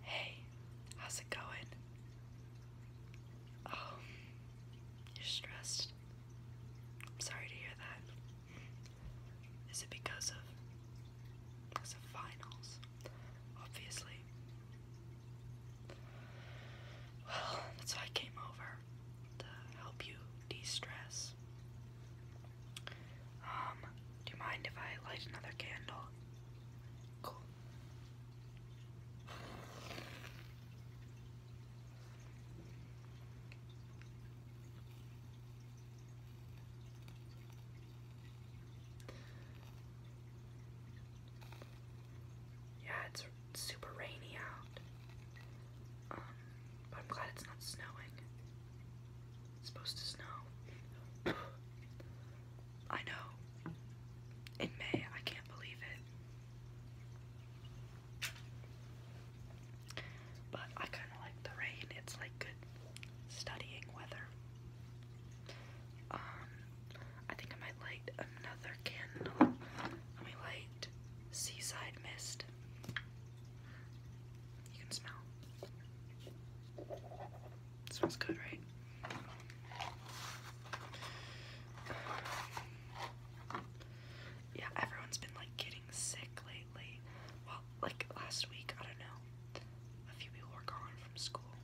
Hey, how's it going? Oh, you're stressed. I'm sorry to hear that. Is it because of because of finals? Obviously. Well, that's why I came over to help you de-stress. Um, do you mind if I light another candle? Yeah, it's super rainy out. Um, but I'm glad it's not snowing. It's supposed to snow. I know. In May, I can't believe it. But I kind of like the rain. It's like good studying weather. Um, I think I might light another candle. Let me light Seaside Mist. You can smell. It smells good, right? Yeah, everyone's been like getting sick lately. Well, like last week, I don't know. A few people were gone from school.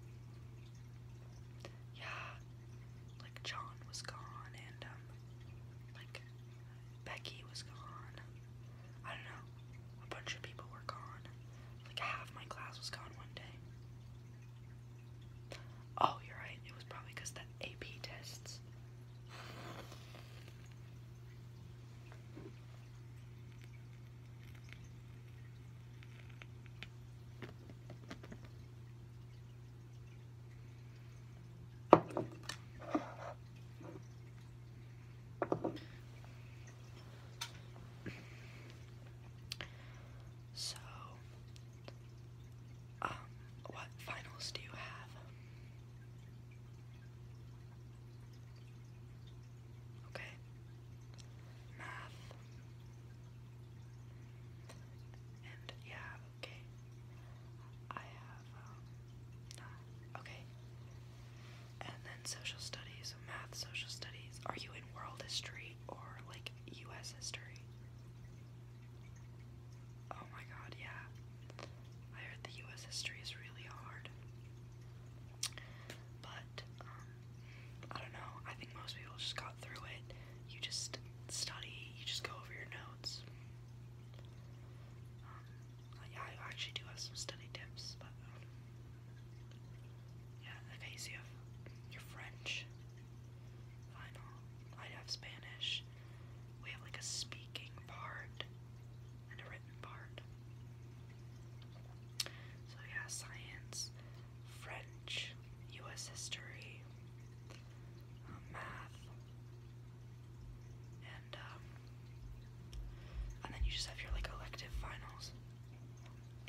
Yeah, like John was gone and um like Becky was gone. I don't know, a bunch of people were gone. Like half my class was gone one day. Oh, you're right. It was probably because the AP tests. So, um, what finals do you have? Okay. Math. And yeah, okay. I have, um, okay and then social studies, math, social studies. Are you in world history or like US history? Oh my god, yeah. I heard the US history is really hard. But, um, I don't know. I think most people just got through it. You just study, you just go over your notes. Um, yeah, I actually do have some study tips, but um, yeah, okay, so you have French final. I have Spanish. We have like a speaking part and a written part. So yeah, science, French, US history, um, math, and um, and then you just have your like elective finals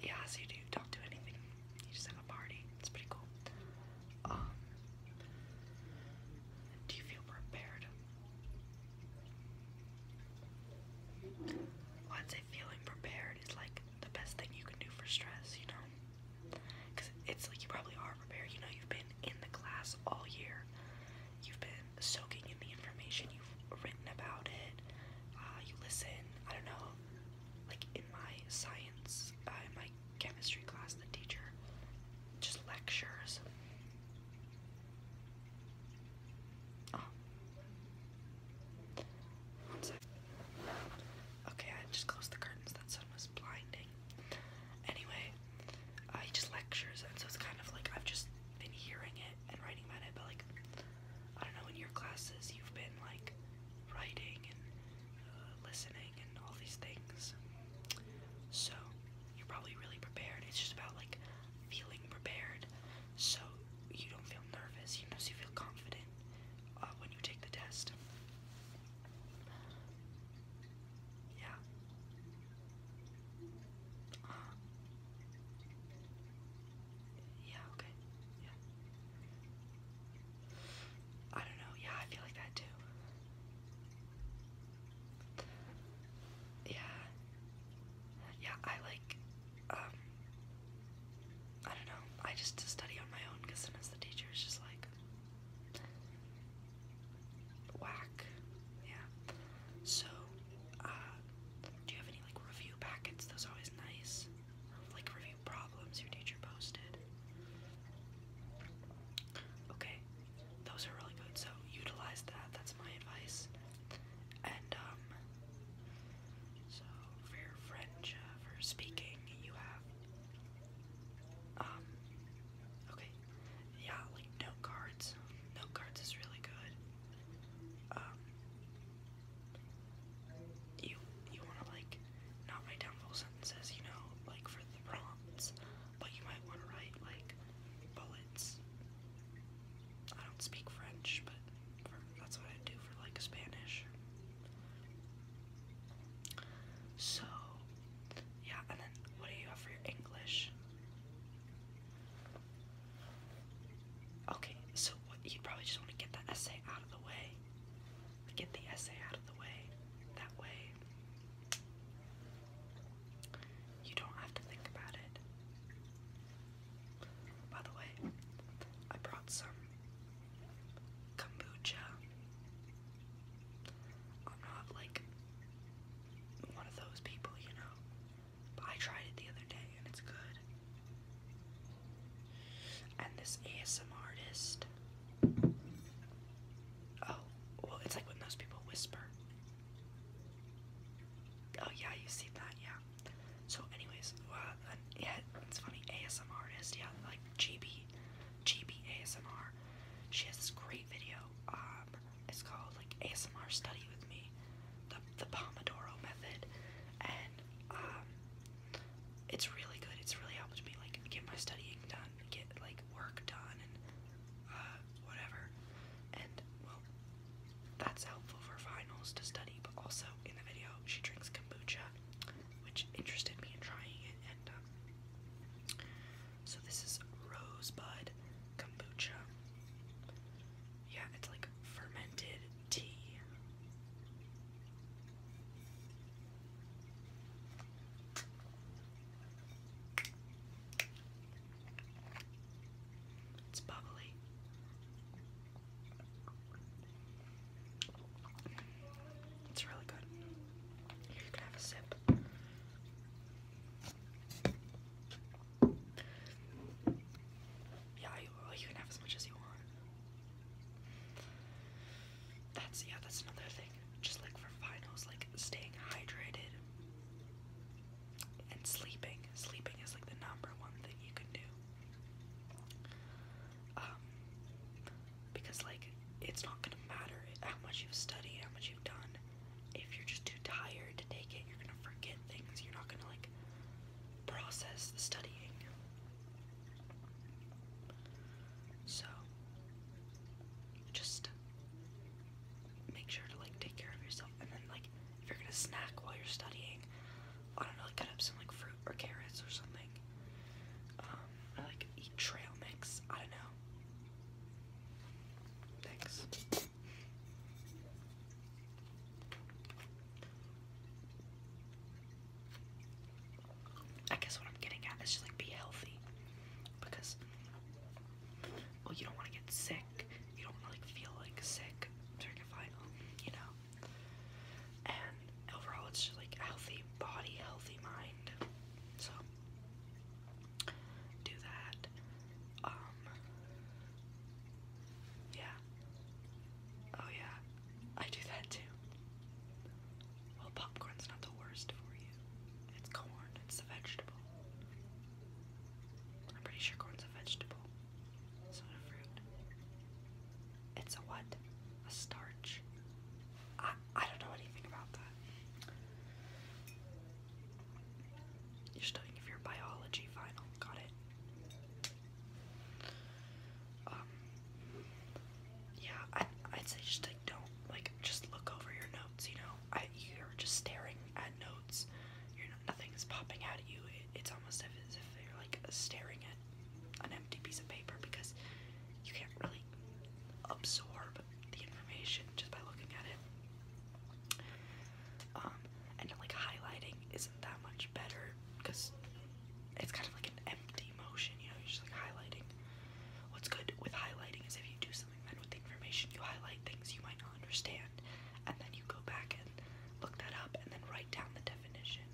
yeah, so you do, not do anything. You just have a party. It's pretty cool. Um, do you feel prepared? Well, i feeling prepared is like the best thing you can do for stress, you know? Because it's like you probably are prepared. You know, you've been in the class all year. You've been soaking in the information you've written about it. Uh, you listen, I don't know, like in my science, uh, in my chemistry class, the teacher just lectures. Oh. Okay, I just closed the curtains. That sun was blinding. Anyway, uh, just lectures, and so it's kind of like I've just been hearing it and writing about it, but like I don't know, in your classes you've been like writing and uh, listening and all these things. So you're probably really prepared. It's just about like feeling prepared so you don't feel nervous, you know, so you feel confident uh, when you take the test. Yeah. Yeah, okay. Yeah. I don't know. Yeah, I feel like that too. Yeah. Yeah, I like, um, I don't know. I just study on my own because sometimes the teacher is just like, whack. Yeah. So, uh, do you have any like review packets? Those are always nice. like review problems your teacher posted. Okay, those are really good. So utilize that. That's my advice. And um, so for French, uh, for speaking, you have um, okay, yeah, like note cards. Note cards is really good. Um, you you want to like not write down full sentences, you know, like for the prompts, but you might want to write like bullets. I don't speak French, but that's what I do for like Spanish. So, yeah, and then what do you have for your English? Okay, so what, you probably just want to get the essay out of the way. Get the essay out of the way. That way, you don't have to think about it. By the way, I brought some kombucha. I'm not like one of those people, you know. I tried it the other day and it's good. And this ASM artist. Oh, well, it's like when those people whisper. Oh, yeah, you see that, yeah. So, anyways, uh, yeah, it's funny. ASM artist, yeah, like GB, GB ASMR. She has this great video. Um, it's called like ASMR Study with Me the Pomodoro method, and um, it's really good. It's really helped me like get my studying done, get like work done, and uh, whatever. And well, that's helpful for finals to study. But also in the video, she drinks kombucha, which interested me in trying it. And um, so this is rosebud kombucha. Yeah, it's like fermented tea. It's bubbly. It's really good. You can have a sip. Yeah, you, can have as much as you want. That's yeah, that's another thing. Just like for finals, like staying hydrated and sleeping. Sleeping is like the number one thing you can do. Um, because like it's not gonna matter how much you've studied, how much you've done. If you're just too tired to take it, you're gonna forget things. You're not gonna like process the studying. So just make sure to like take care of yourself and then like if you're gonna snack while you're studying, I don't know, cut up some like fruit or carrots or something. I um, like eat trail mix. I don't know. Thanks. I guess what I'm getting at is just like be healthy because well you don't want to get sick you don't want to like feel like sick during a final you know and overall it's just like healthy body healthy mind so do that um yeah Oh yeah, I do that too. Well, popcorn's not the worst for you. It's corn, it's a vegetable. I'm pretty sure corn's a vegetable. It's not a fruit. It's a what? A starch. I, I don't know anything about that. You're studying for your biology final. Got it. Um, yeah, I, would say just like don't like just look over your notes. You know, I, you're just staring at notes. You're not, nothing is popping out at you. it's almost as if you're like staring at an empty piece of paper because you can't really absorb the information just by looking at it. Um, and like highlighting is that much better because it's kind of like an empty motion, you know, you're just like highlighting. What's good with highlighting is if you do something then with the information, you highlight things you might not understand, and then you go back and look that up and then write down the definition.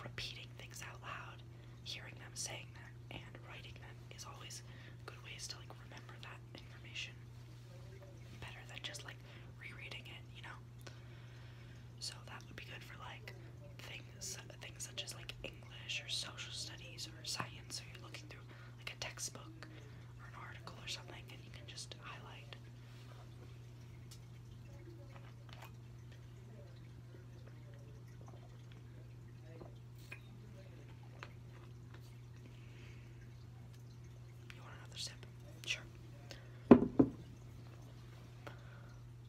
Repeating things out loud, hearing them saying them, and writing them is always good ways to like remember that information better than just like rereading it, you know? So that would be good for like things things such as like English or social studies or science. So you're looking through like a textbook or an article or something, and you can just highlight. You want another sip? Sure.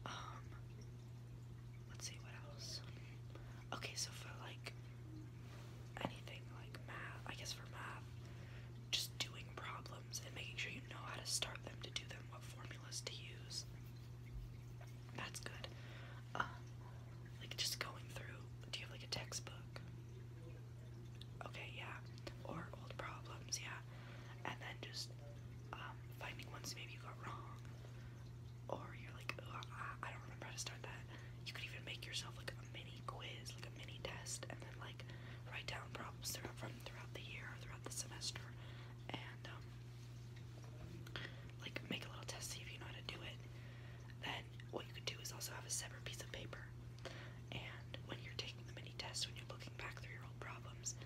Um, let's see what else. Okay, so for like anything like math, I guess for math, just doing problems and making sure you know how to start them, to do them, what formulas to use. That's good. Uh, like just going through. Do you like a textbook? Okay, yeah. Or old problems, yeah. And then just um, finding ones maybe you got wrong. Or you're like, I don't remember how to start that. You could even make yourself like a mini quiz, like a mini test, and then like write down problems throughout throughout the year, throughout the semester, and um, like make a little test see if you know how to do it. Then what you could do is also have a separate piece of paper and when you're taking the mini tests, when you're looking back through your old problems,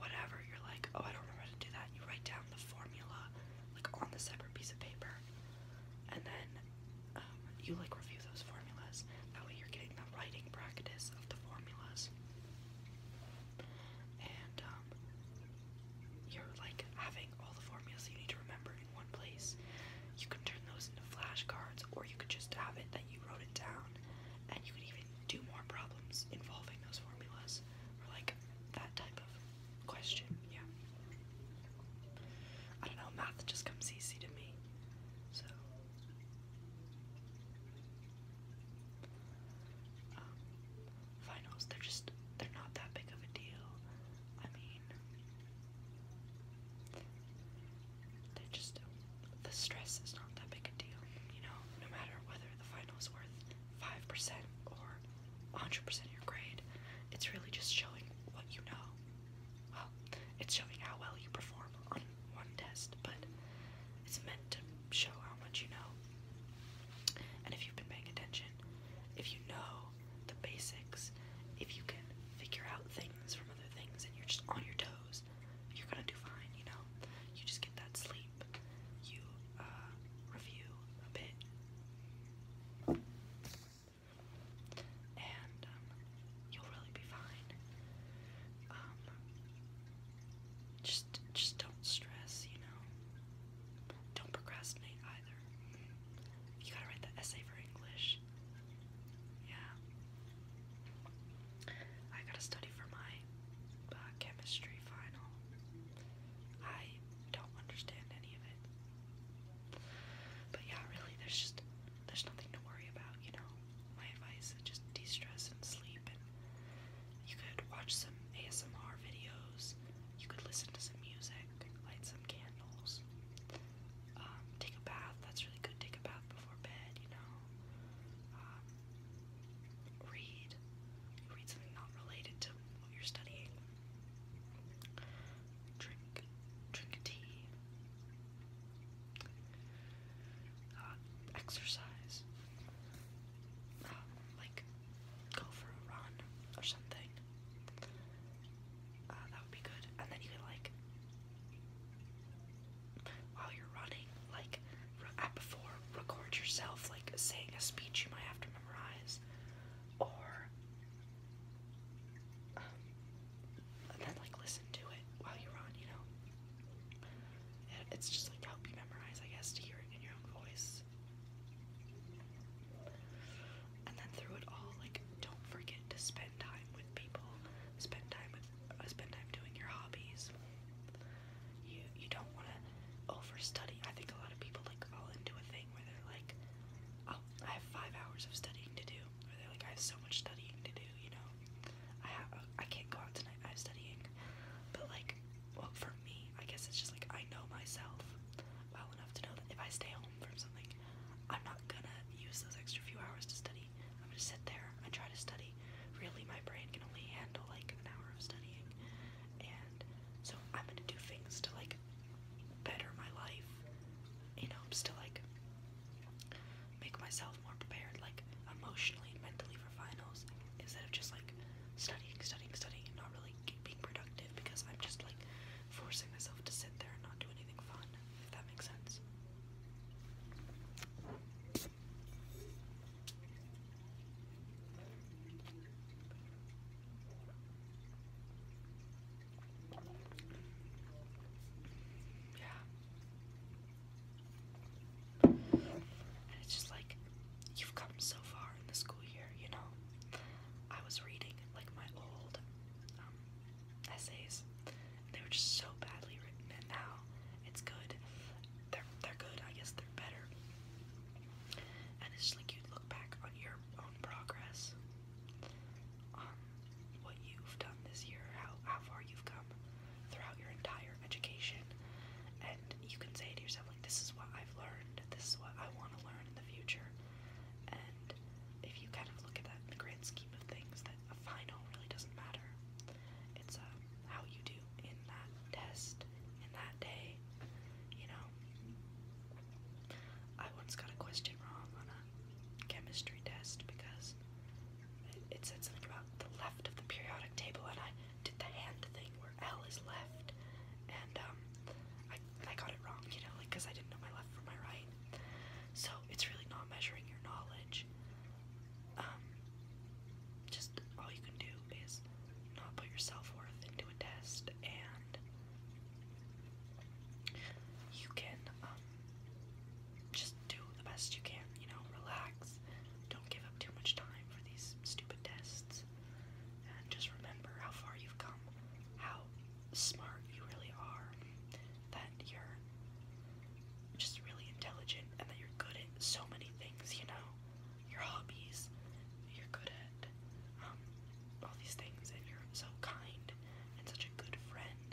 whatever, you're like, oh, I don't remember to do that. You write down the formula, like on a separate piece of paper, and then um, you like review those formulas. That way, you're getting the writing practice of the formulas, and um, you're like having all the formulas you need to remember in one place. You can turn those into flashcards, or you could just have it that you wrote it down and you can even do more problems involving those formulas or like that type of question. Yeah. I don't know, math just comes easy to me. So um, finals, they're just they're not that big of a deal. I mean they just the stress is not that big a deal, you know. No matter whether the final is worth five percent or 100% of your grade, it's really just showing what you know. Well, it's showing how well you perform on one test, but it's meant to show how much you know. And if you've been paying attention, if you know the basics, if you can figure out things from other things and you're just on your toes you're gonna do fine, you know? You just get that sleep. You, uh, review a bit. And, um, you'll really be fine. Um, just, just don't stress, you know? Don't procrastinate either. You gotta write the essay for English. Yeah. I gotta study for my uh, chemistry final. I don't understand any of it. But yeah, really, there's just there's nothing to worry about, you know. My advice is just de-stress and sleep, and you could watch some ASMR videos. You could listen to some music, light some candles, um, take a bath. That's really good. Take a bath before bed, you know. Um, read read something not related to what you're studying drink drink tea uh, exercise uh, like go for a run or something uh, that would be good and then you can like while you're running, like before, record yourself like saying a speech you might have to memorize, or um, then like listen to it while you are on. You know, it's just like help you memorize, I guess, to hear it in your own voice. And then through it all, like don't forget to spend time with people, spend time with spend time doing your hobbies. You you don't want to overstudy. I think a lot of people like fall into a thing where they're like, oh, I have five hours of studying to do, or they're like, I have so much studying to do. You know, I have uh, I can't go out tonight. I have studying, but like, well, for me, I guess it's just like I know myself well enough to know that if I stay home from something, I'm not gonna use those extra few hours to study. I'm gonna sit there and try to study. Really, my brain can only handle like an hour of studying, and so I'm gonna do things to like better my life in hopes to like make myself more prepared, like emotionally, mentally for finals, instead of just like studying, studying, studying, and not really being productive because I'm just like forcing myself to sit there and not do anything fun, if that makes sense. Yeah. And it's just like, you've come so far in the school year, you know? I was reading like my old um, essays they were just so badly written, and now it's good. They're they're good. I guess they're better. And it's just like you look back on your own progress, on um, what you've done this year, how how far you've come throughout your entire education, and you can say to yourself like, this is what I've learned. This is what I want to learn in the future. And if you kind of look at that in the grand scheme of things, that a final really doesn't matter. It's uh, how you do in that test, in that day, you know. I once got a question wrong on a chemistry test because it, said something about the left of the periodic table, and I did the hand thing where L is left, and um, I, I got it wrong, you know, like because I didn't know my left from my right. So it's really not measuring your knowledge um, just all you can do is not put your self worth into a test, and you can um, just do the best you can. You know, relax. Don't give up too much time for these stupid tests, and just remember how far you've come, how smart you really are, that you're just really intelligent and that you're good at so many things, you know? Your hobbies, you're good at um, all these things, and you're so kind and such a good friend.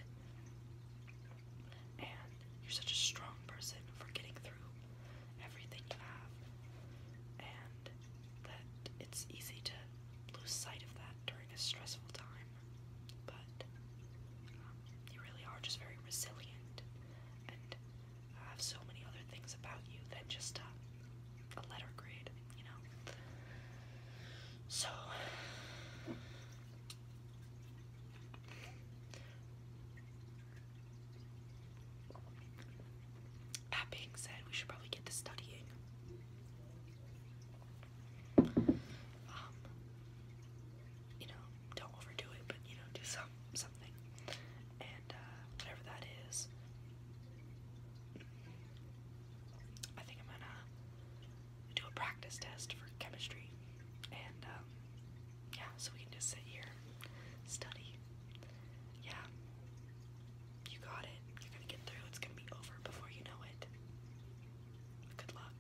And you're such a strong person for getting through everything you have. And that it's easy to lose sight of that during a stressful time. But um, you really are just very resilient and have so many other things about you than just uh, a, letter grade, you know? So, that being said, we should probably get to studying. Um, you know, don't overdo it, but you know, do some something. And uh, whatever that is, I think I'm gonna do a practice test for chemistry, and um, yeah, so we can just sit here, study. Yeah, you got it. You're gonna get through. It's gonna be over before you know it. Good luck.